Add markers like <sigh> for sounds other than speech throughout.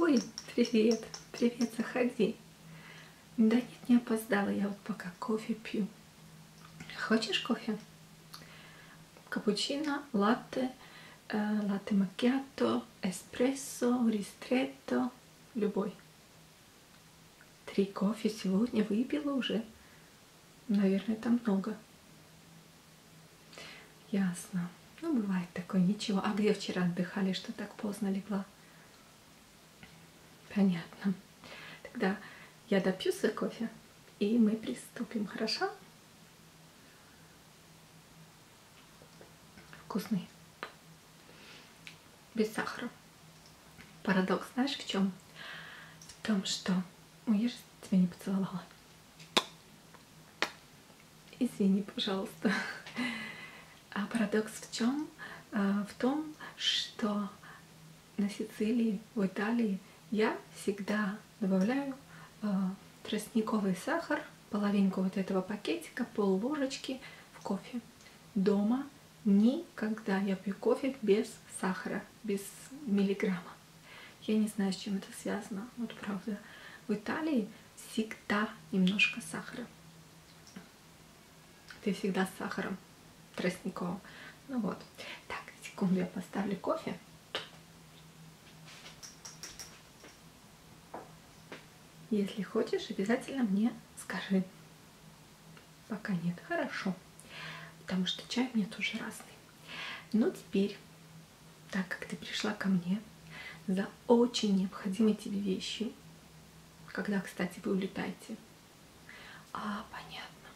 Ой, привет, привет, заходи. Да нет, не опоздала, я вот пока кофе пью. Хочешь кофе? Капучино, латте, э, латте макиато, эспрессо, ристретто, любой. Три кофе сегодня выпила уже. Наверное, там много. Ясно. Ну, бывает такое, ничего. А где вчера отдыхали, что так поздно легла? Понятно. Тогда я допью свой кофе, и мы приступим, хорошо? Вкусный. Без сахара. Парадокс знаешь в чем? В том, что... Ой, я же тебя не поцеловала. Извини, пожалуйста. А парадокс в чем? А, в том, что на Сицилии, в Италии я всегда добавляю э, тростниковый сахар, половинку вот этого пакетика, пол ложечки в кофе. Дома никогда я пью кофе без сахара, без миллиграмма. Я не знаю, с чем это связано, вот правда. В Италии всегда немножко сахара. Ты всегда с сахаром тростниковым. Ну вот. Так, секунду, я поставлю кофе. Если хочешь, обязательно мне скажи. Пока нет. Хорошо. Потому что чай мне тоже разный. Но ну, теперь, так как ты пришла ко мне за очень необходимой тебе вещью, когда, кстати, вы улетаете а, понятно.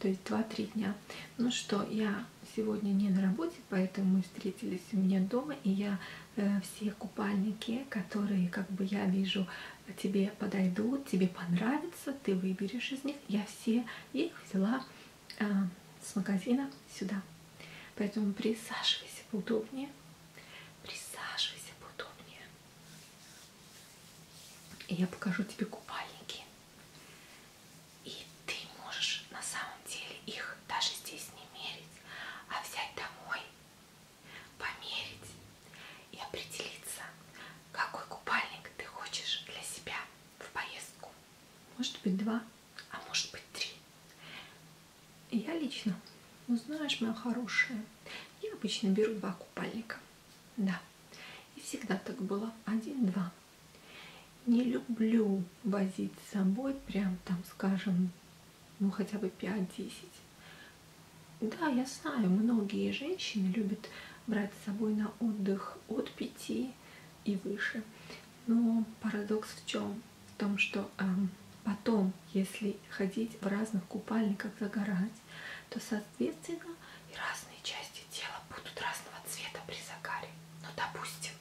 То есть 2-3 дня. Ну что, я сегодня не на работе, поэтому мы встретились у меня дома, и я э, все купальники, которые, как бы я вижу, тебе подойдут, тебе понравятся, ты выберешь из них, я все их взяла э, с магазина сюда. Поэтому присаживайся поудобнее, присаживайся поудобнее. И я покажу тебе купальники. И ты можешь на самом деле их даже здесь не мерить, а взять домой, померить и определиться, какой купальник ты хочешь для себя в поездку. Может быть два, а может быть три. Я лично, ну знаешь, моя хорошая, я обычно беру два купальника. Да, и всегда так было. Один-два. Не люблю возить с собой прям там, скажем, ну хотя бы 5-10. Да, я знаю, многие женщины любят брать с собой на отдых от 5 и выше. Но парадокс в чем? В том, что э, потом, если ходить в разных купальниках загорать, снимать, то, соответственно, и разные части тела будут разного цвета при загаре. Ну, допустим,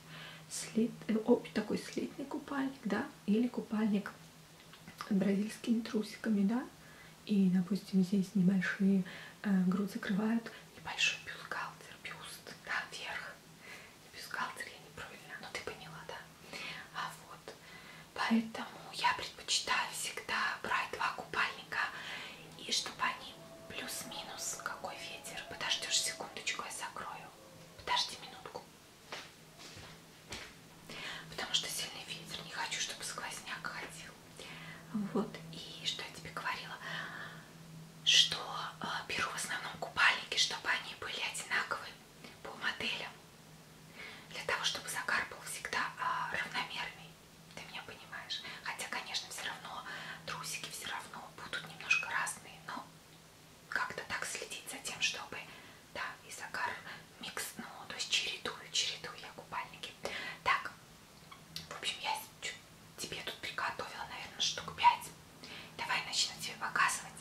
след, э, такой слитный купальник, да, или купальник бразильскими трусиками, да, и, допустим, здесь небольшие э, грудь закрывают небольшой бюстгальтер, бюст, да, вверх. Бюстгальтер я неправильно, но ну, ты поняла, да? А вот, Поэтому я предпочитаю всегда брать два купальника и чтобы они плюс-минус какой ветер. Подождешь секундочку, я закрою. Подожди минутку. Потому что сильный ветер, не хочу, чтобы сквозняк ходил. Вот, и что я тебе говорила, что э, беру в основном купальники, чтобы они были одинаковые по моделям. Для того, чтобы загар был всегда э, равномерный. Ты меня понимаешь? Хотя, конечно, все равно трусики все равно будут немножко разные, но как-то так следить за тем, чтобы, да, и загар микс, ну, то есть чередую, чередую я купальники. Так, в общем, я тебе тут приготовила, наверное, штук 5. Давай начну тебе показывать.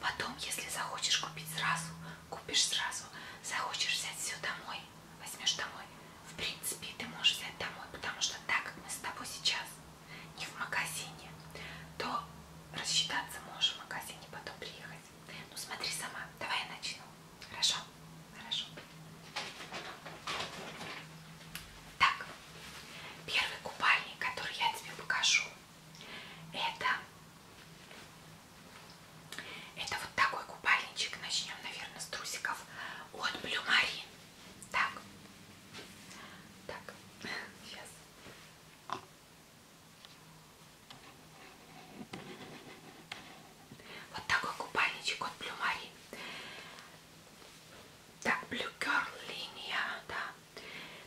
Потом, если захочешь купить сразу, купишь сразу. Захочешь взять все домой, домой, возьмешь домой, в принципе, ты можешь взять домой, потому что так, как мы с тобой сейчас, не в магазине, то рассчитаться можешь в магазине, потом приехать. Ну, смотри сама, давай я начну. Хорошо? Хорошо. Так, первый купальник, который я тебе покажу, это это вот такой купальничек. Начнем, наверное, с трусиков от Blue Marine. Так. Так. Сейчас. Вот такой купальничек от Blue Marine. Так, Blue Girl линия, да.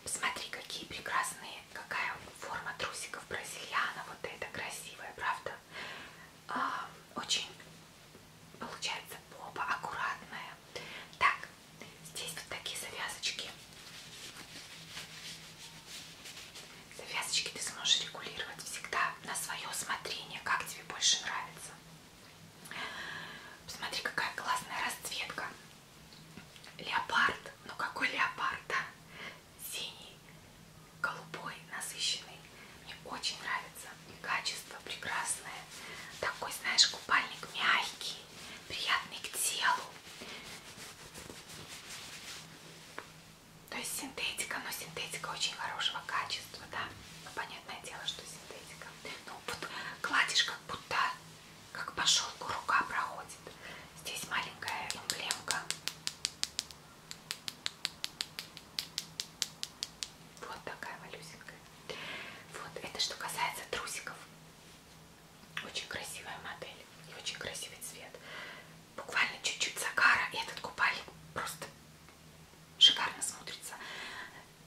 Посмотри, какие прекрасные, какая форма трусиков бразильяна. Вот это красивая, правда? А, очень получается попа аккуратная. Так, здесь вот такие завязочки. Завязочки ты сможешь регулировать всегда на свое усмотрение, как тебе больше нравится. Посмотри, какая классная расцветка. Леопард. Ну какой леопард, да? синий, голубой, насыщенный. Мне очень нравится. И качество прекрасное. Такой, знаешь, купальник мягкий, приятный к телу. То есть синтетика, но синтетика очень хорошего качества, да. Ну, понятное дело, что синтетика. Ну, вот кладешь, как будто, как по шелку рука проходит. Здесь маленькая эмблемка. Вот такая малюсенькая. Вот, это что касается трусиков. Очень красивая модель и очень красивый цвет. Буквально чуть-чуть загара, и этот купальник просто шикарно смотрится.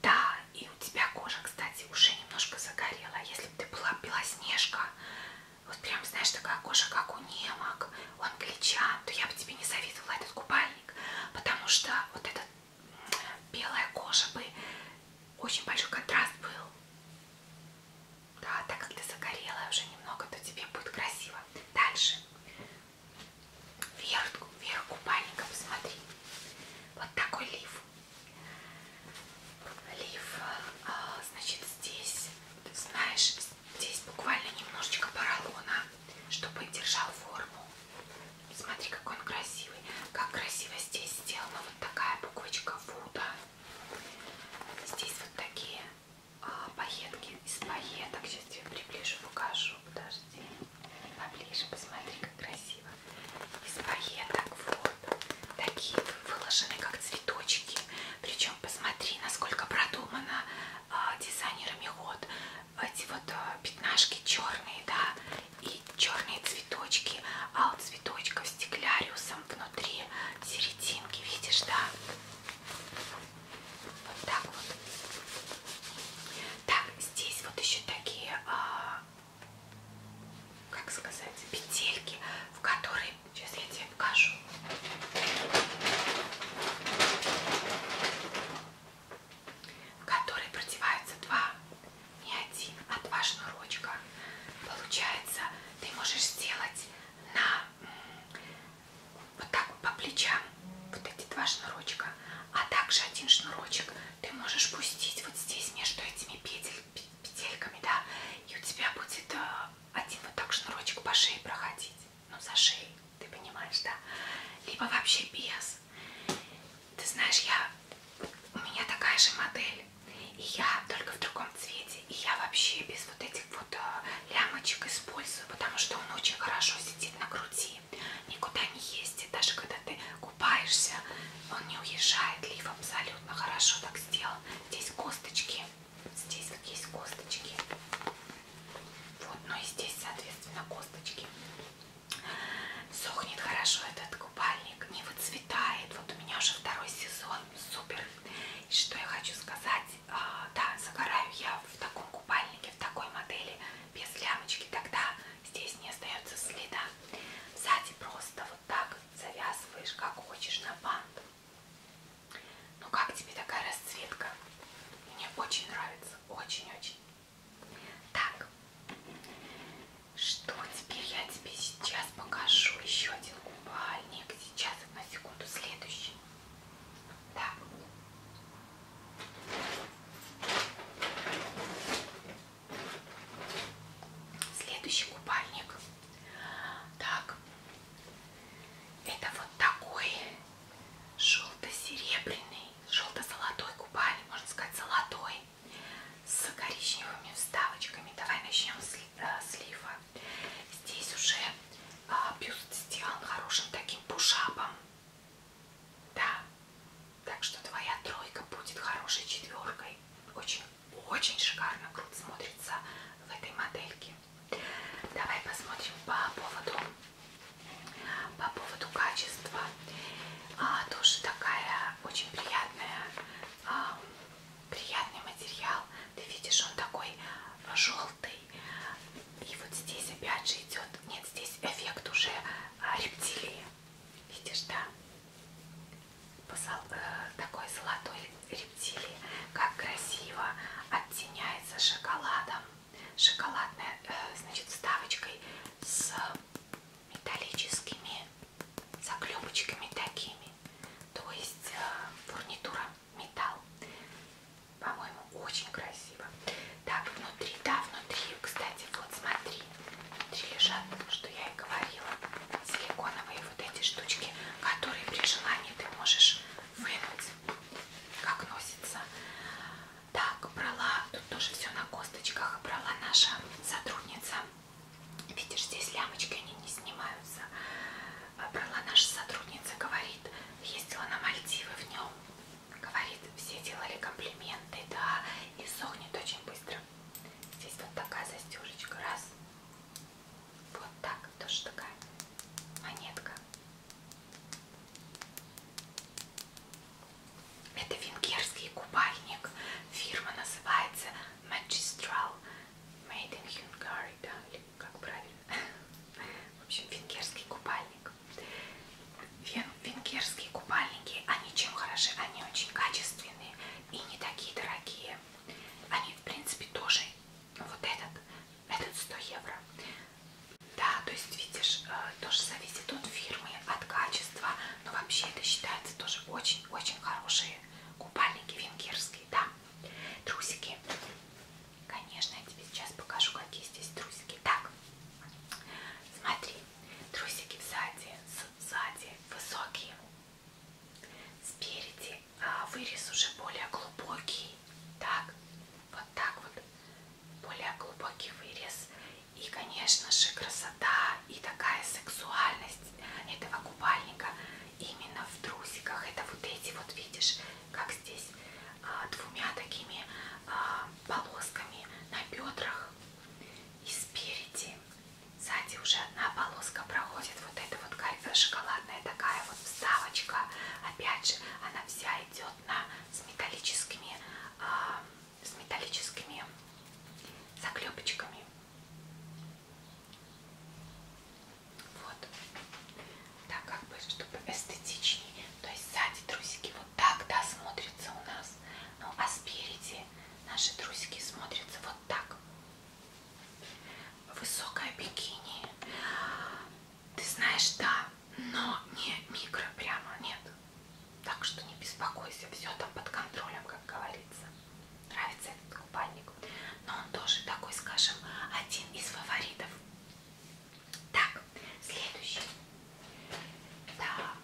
Да, и у тебя кожа, кстати, уже немножко загорела. А если бы ты была белоснежка, вот прям, знаешь, такая кожа, как у немок, он гличан, то я бы тебе не советовала этот купальник, потому что вот эта белая кожа бы, очень большой контраст был. Да, так как ты загорелая уже немного, то тебе будет красиво. Дальше. Вверх, вверх купальника, посмотри. Вот такой лиф. Лиф, а, значит, здесь, знаешь, Здесь буквально немножечко поролона, чтобы держал форму. Смотри, какой он красивый. Как красиво здесь сделана вот такая буквочка Вуда. Здесь вот такие а, пайетки из пайеток. Сейчас тебе приближу, покажу. Подожди. Поближе посмотри, как красиво. Из пайеток вот. Такие выложены, как цветочки. Причем посмотри, насколько продумано а, дизайнерами ход эти вот э, пятнашки черные, да, и черные цветочки, а у цветочков стекляриусом внутри серединки, видишь, да? Вот так вот. Так, здесь вот еще такие, а, как сказать, петельки, в которые, сейчас я тебе покажу. В которой продеваются два, не один, а два шнурочка. Получается, ты можешь сделать на вот так по плечам вот эти два шнурочка, а также один шнурочек ты можешь пустить вот здесь между этими петель, петельками, да, и у тебя будет э, один вот так шнурочек по шее проходить ну за шею, ты понимаешь, да? Либо вообще без. Ты знаешь, я у меня такая же модель, и я только в другом цвете, и я вообще без вот этих вот э, лямочек использую, потому что он очень хорошо сидит на груди, никуда не ездит, даже когда ты купаешься, он не уезжает, лиф абсолютно хорошо так сделал. Здесь косточки Здесь как есть косточки. Вот, ну и здесь, соответственно, косточки. Сохнет хорошо этот купальник, не выцветает. Вот у меня уже второй сезон, супер. И что я хочу сказать, а, да, загораю я в таком купальнике, в такой модели, без лямочки, тогда здесь не остается следа. Сзади просто вот так завязываешь, как хочешь, на бант. Ну как тебе такая расцветка? Мне очень нравится, очень-очень. Так, что теперь я тебе сейчас покажу? Еще один купальник. Сейчас, на секунду, следующий. Так. Следующий купальник. Так. Это вот такой желто-серебряный, желто-золотой купальник, можно сказать золотой, с коричневыми вставочками. Давай начнем с э, слива. Здесь уже а, бюст сделан хорошим таким пушапом. Да, так что твоя тройка будет хорошей четверкой. Очень-очень шикарно круто смотрится в этой модельке. Давай посмотрим по поводу, по поводу качества. А, тоже такая очень приятная, а, приятный материал. Ты видишь, он такой желтый. И вот здесь опять же идет, нет, здесь эффект уже а, рептилии. Видишь, да? Посол, э, такой золотой рептилии. Как красиво оттеняется шоколадом шоколадная, э, значит, ставочкой с металлическими заклепочками такими. То есть э, фурнитура металл. По-моему, очень красиво. Так, внутри, да, внутри, кстати, вот смотри, внутри лежат, что я и говорила, силиконовые вот эти штучки, которые при желании ты можешь вынуть, как носится. Так, брала, тут тоже все на косточках, брала наша сотрудница. Видишь, здесь лямочки, они не снимаются. Брала наша сотрудница, говорит, ездила на Мальдивы в нем. Говорит, все делали комплименты, да, и сохнет очень быстро. Здесь вот такая застежечка, раз. Вот так, тоже такая монетка. Это венгерский купальник. Фирма называется Magistral Made in Hungary, да, или как правильно. В общем, венгерский купальник. Вен венгерские купальники, они чем хороши? Они очень качественные и не такие дорогие. Они, в принципе, тоже вот этот, этот 100 евро. Да, то есть видишь, э, тоже зависит от фирмы, от качества, но вообще это считается тоже очень-очень хорошие купальники венгерские, да. Трусики, конечно, я тебе сейчас покажу, какие здесь трусики. Так, смотри, трусики сзади, сзади высокие, спереди а вырез уже более глубокий, так, вот так вот. Более глубокий вырез. И, конечно же, красота и такая сексуальность этого купальника именно в трусиках. Это вот эти вот, видишь, как здесь а, двумя такими а, полосками на бедрах и спереди. Сзади уже одна полоска проходит. Вот эта вот шоколадная такая вот вставочка. Опять же, она вся идет плотно с металлическими, э, с металлическими заклепочками. Вот. Так как бы, чтобы эстетичнее. То есть сзади трусики вот так, да, смотрятся у нас. Ну, а спереди наши трусики смотрятся вот так. Высокое бикини. Ты знаешь, да, но не микро прямо нет. Так что не беспокойся, все там под контролем, как говорится. Нравится этот купальник. Но он тоже такой, скажем, один из фаворитов. Так, следующий. Так.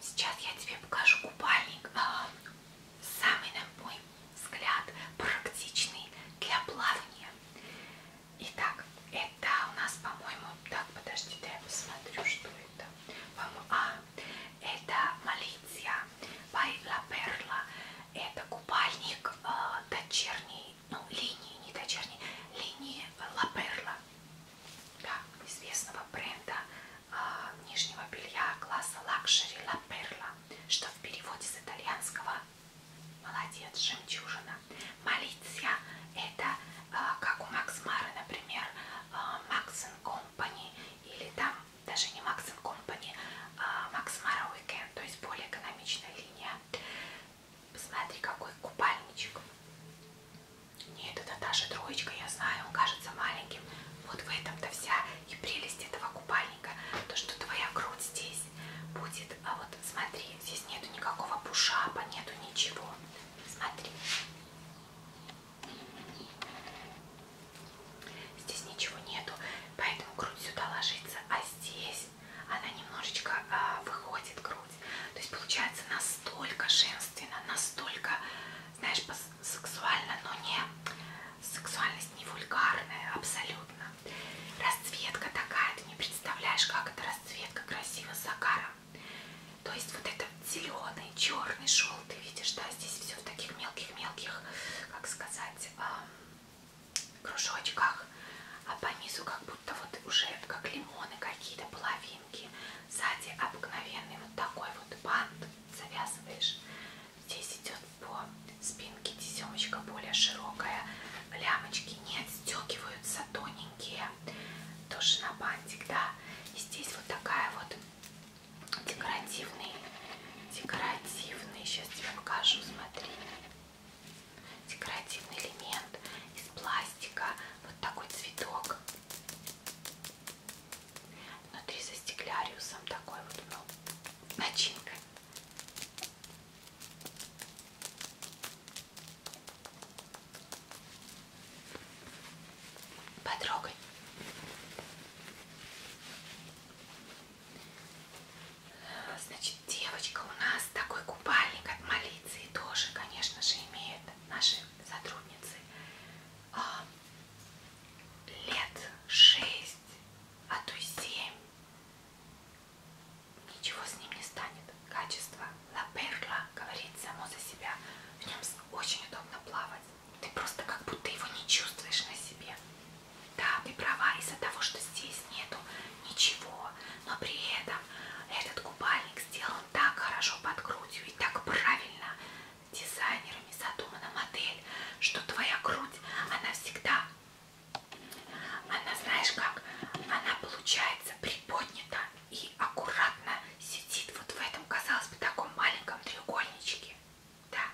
Сейчас я тебе покажу купальник. А, самый, на мой взгляд, практичный для плавания. Итак, это у нас, по-моему, так, подожди-то я посмотрю, что это. А, это Малиция Байла Перла. Это купальник э, дочерней, ну, линии, не дочерней, линии Ла Перла. Да, известного бренда э, нижнего белья класса лакшери Ла Перла что в переводе с итальянского молодец, жемчужина. Молиться это э, как у Макс Мары, например, э, Макс э, Компани или там даже не Макс Компани, а Макс Мара Уикенд, то есть более экономичная линия. Посмотри, какой купальничек. Нет, это даже троечка, я знаю, он кажется маленьким. Вот в этом-то вся и прелесть этого купальника, то что твоя грудь здесь будет, а вот смотри, здесь нету никакого пушапа, нету ничего. Смотри. Здесь ничего нету, поэтому грудь сюда ложится, а здесь она немножечко а, выходит грудь. То есть получается настолько женственно, настолько, знаешь, сексуально, но не сексуально внешность не вульгарная абсолютно. Расцветка такая, ты не представляешь, как эта расцветка красиво с загаром. То есть вот это зеленый, черный шел, ты видишь, да, здесь все в таких мелких-мелких, как сказать, кружочках. А по низу как будто вот уже как лимоны какие-то, половинки. Сзади обыкновенный вот такой вот бант завязываешь. Здесь идет по спинке тесемочка более широкая. Лямочки не отстегиваются, тоненькие. Тоже на бантик, да. И здесь вот такая вот декоративный, декоративный, сейчас тебе покажу, смотри. Декоративный элемент из пластика. Вот такой цветок. Внутри со стеклярусом такой вот, ну, начинка Потрогай. Значит, девочка у нас такой купальник от Малиции тоже, конечно же, имеет наши сотрудницы. А, лет шесть, а то и семь. Ничего с ним не станет. Качество La Perla говорит само за себя. В нем очень удобно плавать. Ты просто как будто его не чувствуешь на себе. Да, ты права из-за того, что здесь нету ничего. Но при этом этот купальник сделан так хорошо под грудью и так правильно дизайнерами задумана модель, что твоя грудь, она всегда она, знаешь как, она получается приподнята и аккуратно сидит вот в этом, казалось бы, таком маленьком треугольничке. Да.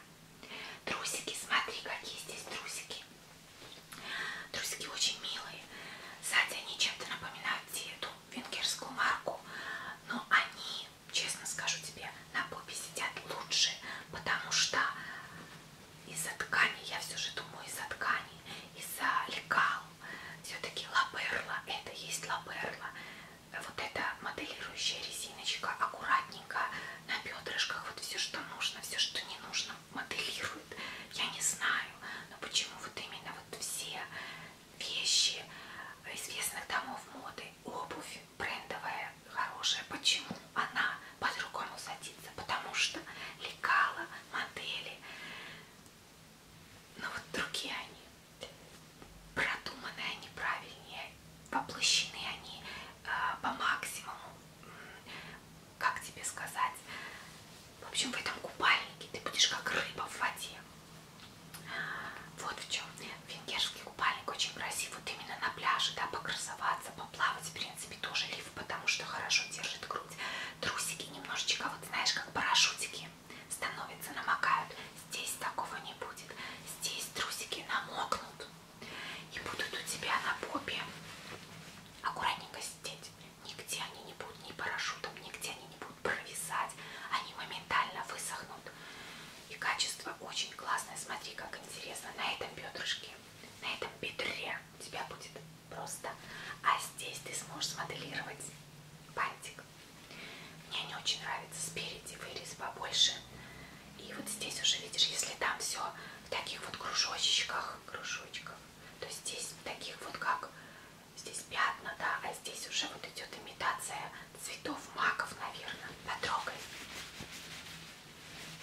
Трусики, смотри, какие здесь трусики. Трусики очень милые. Сзади они чем-то напоминают эту венгерскую марку. Но они, честно скажу тебе, на попе сидят лучше, потому что из-за ткани, я все же думаю из-за ткани, из-за лекал. Все-таки лаберла, это есть лаберла. Вот эта моделирующая резиночка аккуратненько на бедрышках. Вот все, что нужно, все, что не нужно, моделирует. Я не знаю, но почему вот именно вот все вещи известных домов моды, обувь брендовая, хорошая. Почему она по-другому садится? Потому что лекала, модели, но вот другие они, продуманные они правильнее, воплощены они э, по максимуму, как тебе сказать. В общем, в этом купальнике ты будешь как рыба в воде. Вот в чем. Венгерский купальник очень красив. Вот именно на пляже, да, покрасоваться, по но плавать в принципе тоже лиф, потому что хорошо держит грудь. Трусики немножечко, вот знаешь, как парашютики становятся, намокают. Здесь такого не будет. Здесь трусики намокнут и будут у тебя на попе аккуратненько сидеть. Нигде они не будут ни парашютом, нигде они не будут провисать. Они моментально высохнут. И качество очень классное. Смотри, как интересно. На этом бедрышке на этом бедре у тебя будет просто, а здесь ты сможешь смоделировать бантик. Мне не очень нравится спереди вырез побольше. И вот здесь уже, видишь, если там все в таких вот кружочках, кружочках, то здесь таких вот как здесь пятна, да, а здесь уже вот идет имитация цветов маков, наверное. Потрогай.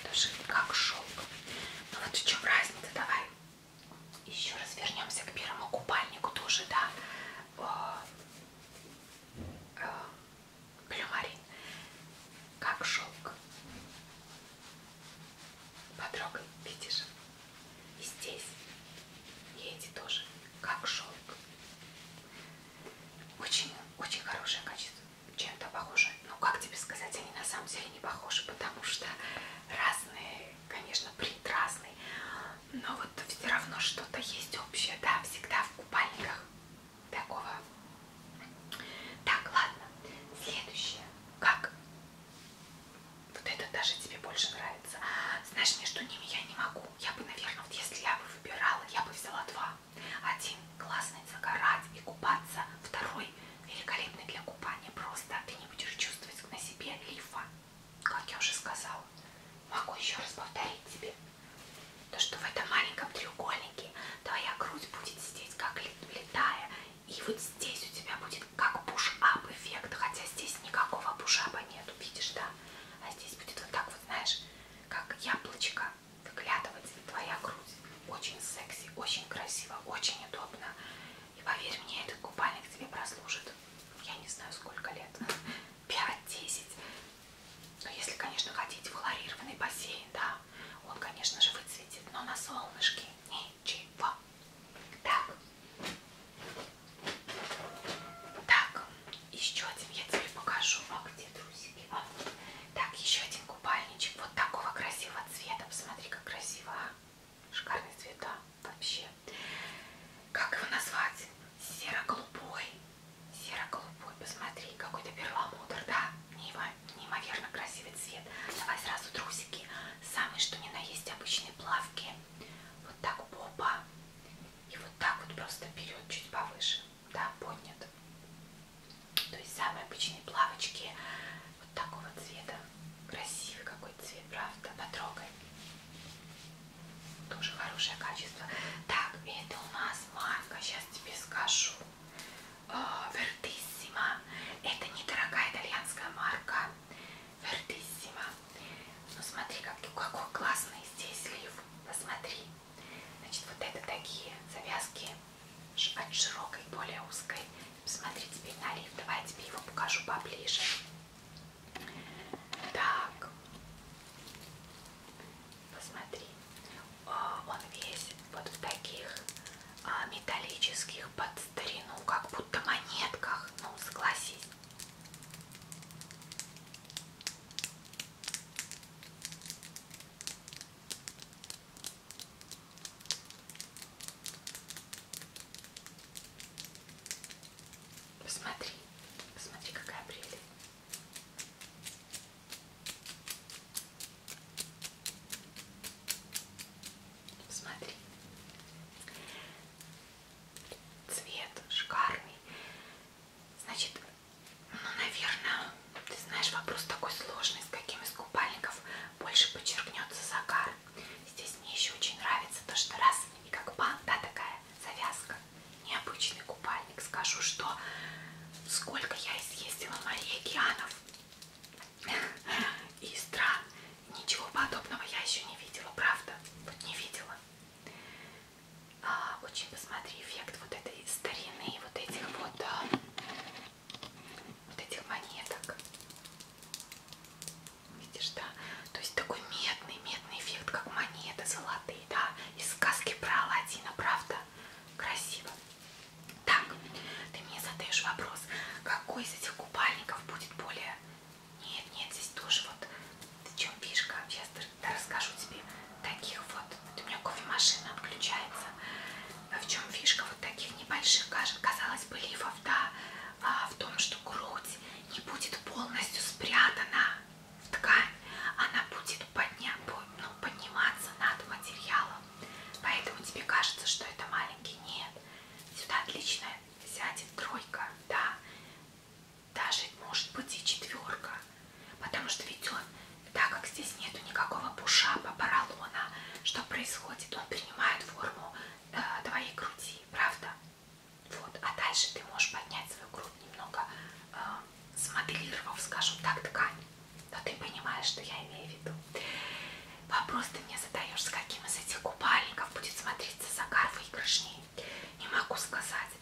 Тоже как шелк. Но ну вот в чем разница, давай еще раз вернемся к первому купальнику тоже, да. Плюмарин. Э, как шелк. Потрогай, видишь? И здесь. И эти тоже. Как шелк. Очень, очень хорошее качество чем-то похожи. Ну, как тебе сказать, они на самом деле не похожи, потому что разные, конечно, принт разный, но вот все равно что-то есть общее, да, всегда в купальниках такого. Так, ладно, следующее. Как? Вот это даже тебе больше нравится. Знаешь, между ними я не могу. Я бы, наверное, вот если я бы выбирала, я бы взяла два. Один классный загорать и купаться, второй великолепный для купания. Просто ты не будешь чувствовать на себе лифа. Как я уже сказала, могу еще раз повторить тебе, то что в этом маленьком треугольнике твоя грудь будет сидеть как летая, и вот здесь у тебя будет как пуш-ап эффект, хотя здесь никакого пуш-апа нету, видишь, да? А здесь будет вот так вот, знаешь, как яблочко выглядывать твоя грудь. Очень секси, очень красиво, очень удобно. И поверь мне, этот купальник тебе прослужит, я не знаю сколько лет, 5-10. <laughs> Но если, конечно, хотите в хлорированный бассейн, да, он, конечно же, выцветит, но на солнышке ничего. Так. Так, еще один я тебе покажу. А где, друзья? а, так, еще один купальничек вот такого красивого цвета. Посмотри, как красиво. А? Шикарный цвет, да, вообще. Как его назвать? Серо-голубой. Серо-голубой. Посмотри, какой-то перламутр, да? Неимоверно красивый цвет. Давай сразу трусики. Самые, что ни на есть, обычные плавки. Вот так попа. И вот так вот просто вперед, чуть повыше. Да, поднят. То есть самые обычные плавочки вот такого цвета. Красивый какой цвет, правда? Потрогай. Тоже хорошее качество. Так, это у нас марка, сейчас тебе скажу. А, Вертиссима. Это недорогая итальянская марка. Вертиссима. Ну смотри, как, какой классный здесь лиф. Посмотри. Значит, вот это такие завязки от широкой, более узкой. Посмотри, теперь налив. Давай я тебе его покажу поближе. Так. Посмотри. Он весь вот в таких а, металлических под старину, как будто монетках. Ну, согласись. Посмотри, посмотри, какая прелесть. Смотри. Цвет шикарный. Значит, ну, наверное, ты знаешь, вопрос такой сложный, с каким из купальников больше подчеркнется загар. Здесь мне еще очень нравится то, что раз и как банда такая завязка. Необычный купальник. Скажу, что сколько я изъездила морей океанов и стран, ничего подобного я еще не видела, правда? Вот не видела. А, очень посмотри эффект вот этой старины, вот этих вот а, вот этих монеток. Видишь, да? То есть такой медный, медный эффект, как монеты золотые, да? Из сказки про Алладина, правда? Красиво. Так, ты мне задаешь вопрос, какой из этих купальников будет более... Нет, нет, здесь тоже вот... В чем фишка? Сейчас расскажу тебе таких вот. Вот у меня кофемашина отключается. Но а в чем фишка вот таких небольших, казалось бы, лифов, да, а, в том, что грудь не будет полностью спрятана в ткань, она будет подня, ну, подниматься над материалом. Поэтому тебе кажется, что это маленький. Нет. Сюда отлично сядет тройка, да. Даже может быть и четверка. Потому что ведь он так как здесь нету никакого пушапа, поролона, что происходит? Он принимает форму э, твоей груди, правда? Вот, а дальше ты можешь поднять свою грудь немного, э, смоделировав, скажем так, ткань. Но ты понимаешь, что я имею в виду. Вопрос ты мне задаешь, с каким из этих купальников будет смотреться загар выигрышней. Не могу сказать.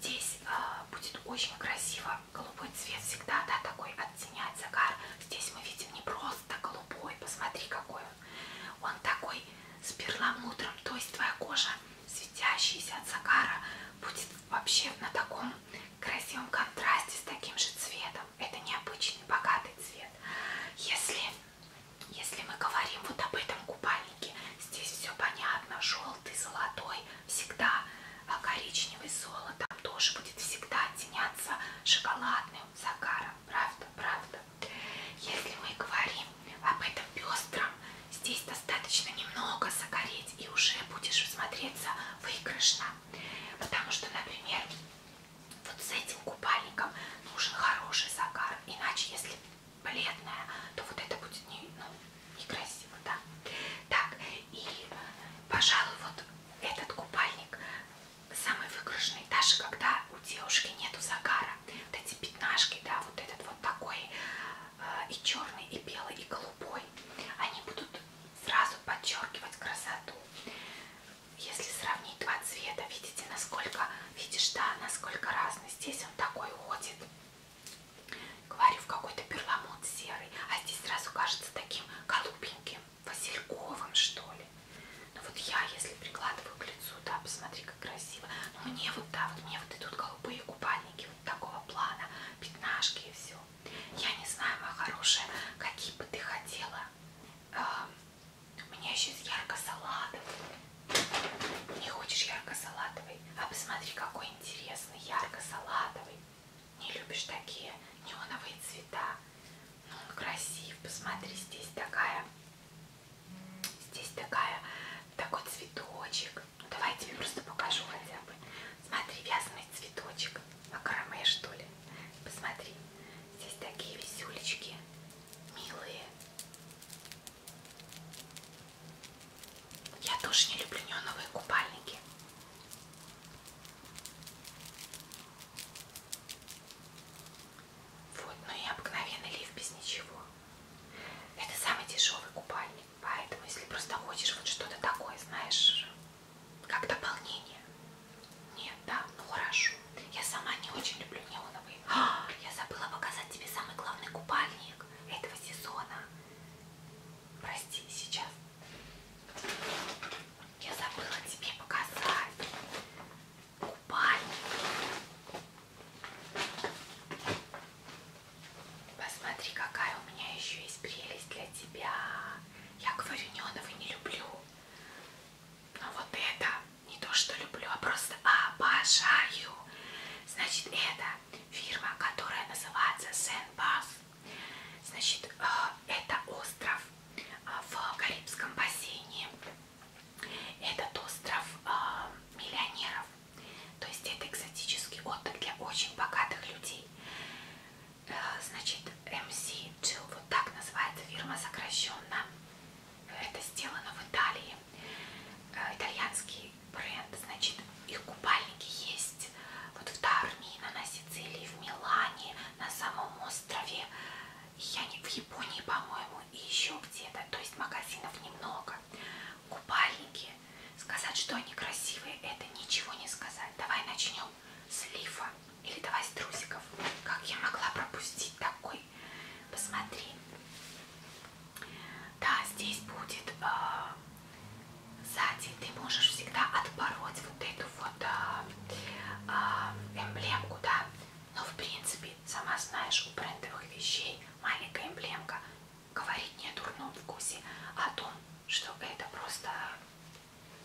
Здесь э, будет очень красиво. Голубой цвет всегда, да, такой оттенять загар. Здесь мы видим не просто голубой, посмотри какой он. Он такой с перламутром, то есть твоя кожа, светящаяся от загара, будет вообще на таком красивом контрасте с таким же цветом. Это необычный богатый цвет. Если, если мы говорим вот об этом купальнике, здесь все понятно. Желтый, золотой, всегда а, коричневый, золото там тоже будет всегда теняться шоколадным загаром. Правда, правда. Если мы говорим об этом пестром, здесь достаточно немного загореть и уже будешь смотреться выигрышно. Потому что, например, вот с этим купальником нужен хороший загар. Иначе, если бледная, то вот это будет не, ну, некрасиво, да. Так, и, пожалуй, вот этот купальник самый выигрышный, даже когда у девушки нету загара. Вот эти пятнашки, да, вот этот вот такой э, и черный, и белый, и голубой, они будут сразу подчеркивать красоту. Если сравнить два цвета, видите, насколько, видишь, да, насколько разный. Здесь он такой уходит, говорю, в какой-то перламут серый, а здесь сразу кажется таким голубеньким васильковым, что ли. Но ну вот я, если прикладываю к лицу, да, посмотри, как красиво. Но ну, мне вот, да, вот мне вот идут голубые купальники вот такого плана, пятнашки и все. Я не знаю, моя хорошая, какие бы ты хотела. Мне сейчас ярко-салатовый. Не хочешь ярко-салатовый? А посмотри, какой интересный ярко-салатовый не любишь такие неоновые цвета. Но ну, он красив. Посмотри, здесь такая, здесь такая, такой цветочек. Ну, Давай я тебе просто покажу хотя бы. Смотри, вязаный цветочек. Макраме, что ли? Посмотри. Здесь такие висюлечки. Милые. Я тоже не люблю неоновые купальники. Вот, ну и обыкновенный лифт без ничего. Это самый дешевый купальник, поэтому если просто хочешь вот что-то такое, знаешь, как дополнение. Нет, да, ну хорошо. Я сама не очень люблю неоновые. А, я забыла показать тебе самый главный купальник этого сезона. Прости, сейчас. Я забыла тебе показать. Купальник. Посмотри, какая у меня еще есть прелесть для тебя. Я говорю, неоновый не люблю. Но вот это не то, что люблю, а просто обожаю. Значит, это фирма, которая называется Сен-Бас. Значит, э, это остров э, в Карибском бассейне. Этот остров э, миллионеров. То есть это экзотический отдых для очень богатых людей. Значит, MC Jill, вот так называется фирма сокращенно. Это сделано в Италии. Итальянский бренд, значит, их купальники есть вот в Тармино, на Сицилии, в Милане, на самом острове, я не в Японии, по-моему, и еще где-то, то есть магазинов немного. Купальники. Сказать, что они красивые, это ничего не сказать. Давай начнем с лифа или давай с трусиков. Как я могла пропустить такой? Посмотри. Да, здесь будет э, сзади. Ты можешь всегда отпороть вот эту вот э, а, эмблемку, да, но в принципе, сама знаешь, у брендовых вещей маленькая эмблемка говорит не о дурном вкусе, а о том, что это просто,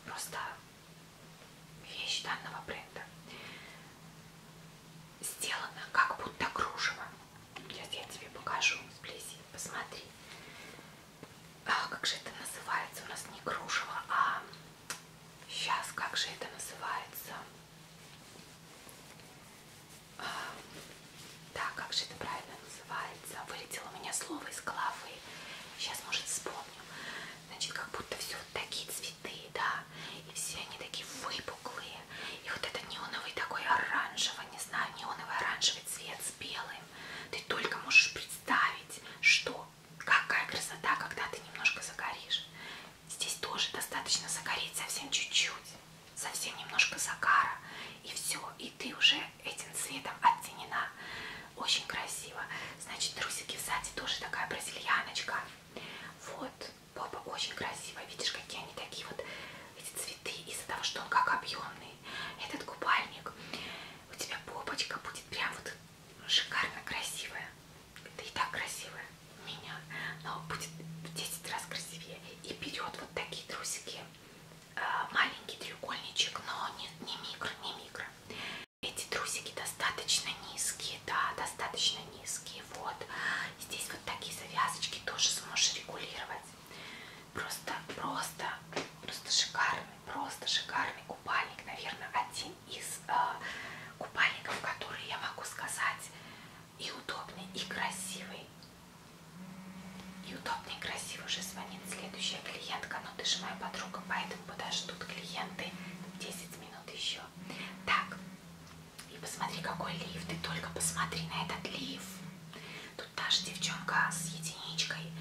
просто вещь данного бренда. Сделано как будто кружево. Сейчас я тебе покажу сблизи, посмотри. А, как же это называется? У нас не кружево, а Сейчас, как же это называется? А, да, как же это правильно называется? Вылетело у меня слово из головы. Сейчас, может, вспомню. Значит, как будто все вот такие цветы, да. И все они такие выпуклые. И вот этот неоновый такой оранжевый, не знаю, неоновый оранжевый цвет с белым. Ты только можешь представить, что какая красота, когда ты немножко загоришь. Здесь тоже достаточно загореть совсем чуть-чуть, совсем немножко загара, и все, и ты уже этим цветом оттенена. Очень красиво. Значит, трусики сзади тоже такая бразильяночка. Вот, попа очень красивая. Видишь, какие они такие вот, эти цветы, из-за того, что он как объемный. Этот купальник, у тебя попочка будет прям вот шикарно красивая. Это и так красивая у меня, но будет в 10 раз красивее. И берет вот такие трусики, э, маленький треугольничек, но не, не микро, не микро. Эти трусики достаточно низкие, да, достаточно низкие. Вот здесь вот такие завязочки тоже сможешь регулировать. Просто, просто, просто шикарный, просто шикарный купальник, наверное, один один из э, купальников, который я могу сказать и удобный, и красивый. И удобный, и красивый. Уже звонит следующая клиентка, но ты же моя подруга, поэтому подождут клиенты 10 минут еще. Так, и посмотри, какой лифт. Ты только посмотри на этот лифт. Тут даже девчонка с единичкой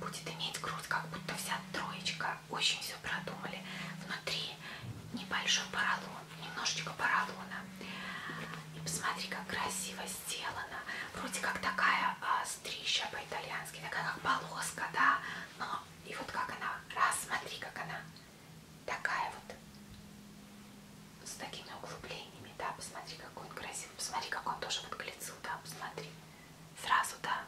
будет иметь грудь, как будто вся троечка очень все продумали. Внутри небольшой поролон, немножечко поролона. И посмотри, как красиво сделано. Вроде как такая а, стрища по-итальянски, такая как полоска, да. Но и вот как она, раз, смотри, как она такая вот с такими углублениями, да, посмотри, какой он красивый, посмотри, как он тоже вот к лицу, да, посмотри, сразу, да,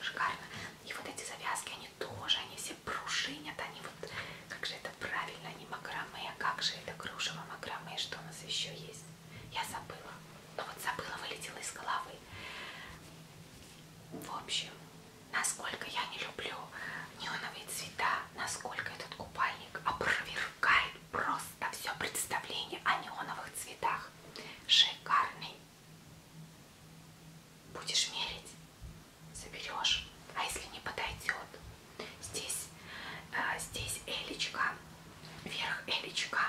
шикарно. И вот эти завязки, они тоже, они все пружинят, они вот, как же это правильно, они макраме, как же это кружево макраме, что у нас еще есть? Я забыла, ну вот забыла, вылетела из головы. В общем, насколько я не люблю неоновые цвета, насколько этот купальник опровергает просто все представление о неоновых цветах. Шикарный Будешь мерить, заберешь. А если не подойдет, здесь, э, здесь элечка, вверх элечка,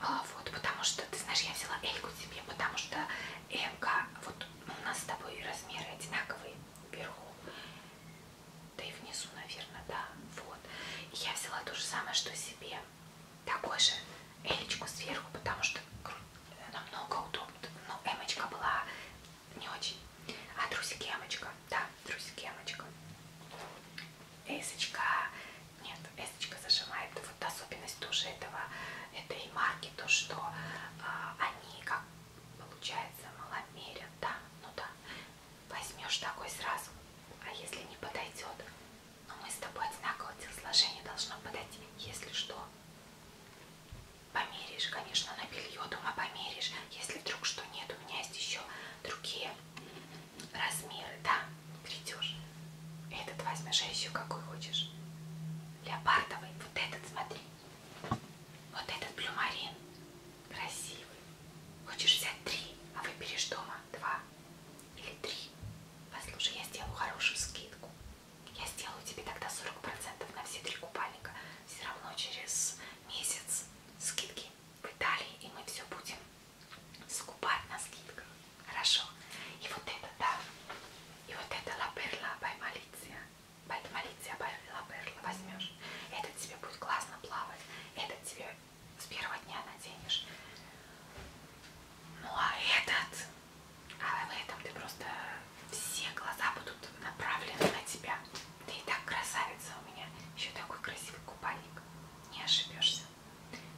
э, вот, потому что, ты знаешь, я взяла эльку тебе, потому что эмка, вот у нас с тобой размеры одинаковые вверху, да и внизу, наверное, да, вот. И я взяла то же самое, что себе такой же элечку сверху, потому что намного удобно. Но ну, эмочка была не очень. А трусики эмочка, да, трусики эмочка. Эсочка, нет, эсочка зажимает. Вот особенность тоже этого, этой марки, то что э, они как получается маломерят, да, ну да, возьмешь такой сразу, а если не подойдет, но мы с тобой одинаково телосложение должно подойти, если что. Померишь, конечно, на белье дома померишь. Если вдруг что нет, у меня есть еще другие размеры, да, придешь. Этот возьмешь, а еще какой хочешь. Леопардовый, вот этот смотри. Вот этот плюмарин. Красивый. Хочешь взять три, а выберешь дома два или три. Послушай, я сделаю хорошую скидку. Я сделаю тебе тогда 40% на все три купальника. Все равно через месяц скидки в Италии, и мы все будем скупать на скидках. Хорошо. И вот это, да. И вот это лаперла баймалиция. Баймалиция лаперла возьмешь. Это тебе будет классно плавать. Это тебе с первого дня наденешь. Ну а этот, а в этом ты просто все глаза будут направлены на тебя. Ты и так красавица у меня, еще такой красивый купальник, не ошибешься.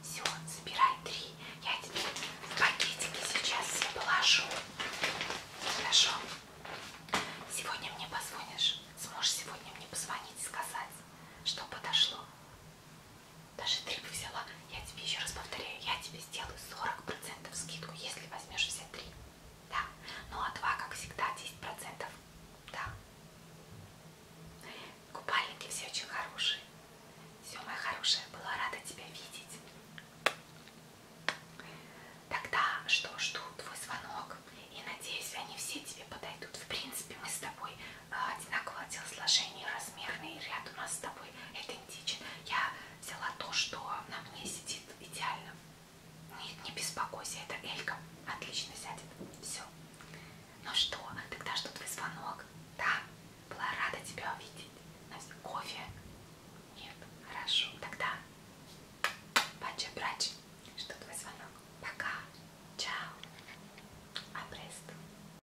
Все, забирай три, я тебе в пакетики сейчас все положу. Хорошо. Сегодня мне позвонишь, сможешь сегодня мне позвонить и сказать, что подошло. Даже три бы взяла. Я тебе еще раз повторяю, я тебе сделаю 40% скидку, если возьмешь все три. Да. Ну а два, как всегда, 10%. Да. Купальники все очень хорошие. Все, моя хорошая, была рада тебя видеть. Тогда что, жду твой звонок. И надеюсь, они все тебе подойдут. В принципе, мы с тобой а, одинакового телосложения, размерный ряд у а нас с тобой идентичен. Я взяла то, что на мне сидит идеально. Нет, не беспокойся, это Элька. Отлично сядет. Все. Ну что, тогда жду твой звонок. Да, была рада тебя увидеть. Настя, кофе? Нет, хорошо. Тогда пача-брач. Жду твой звонок. Пока. Чао. Апресту.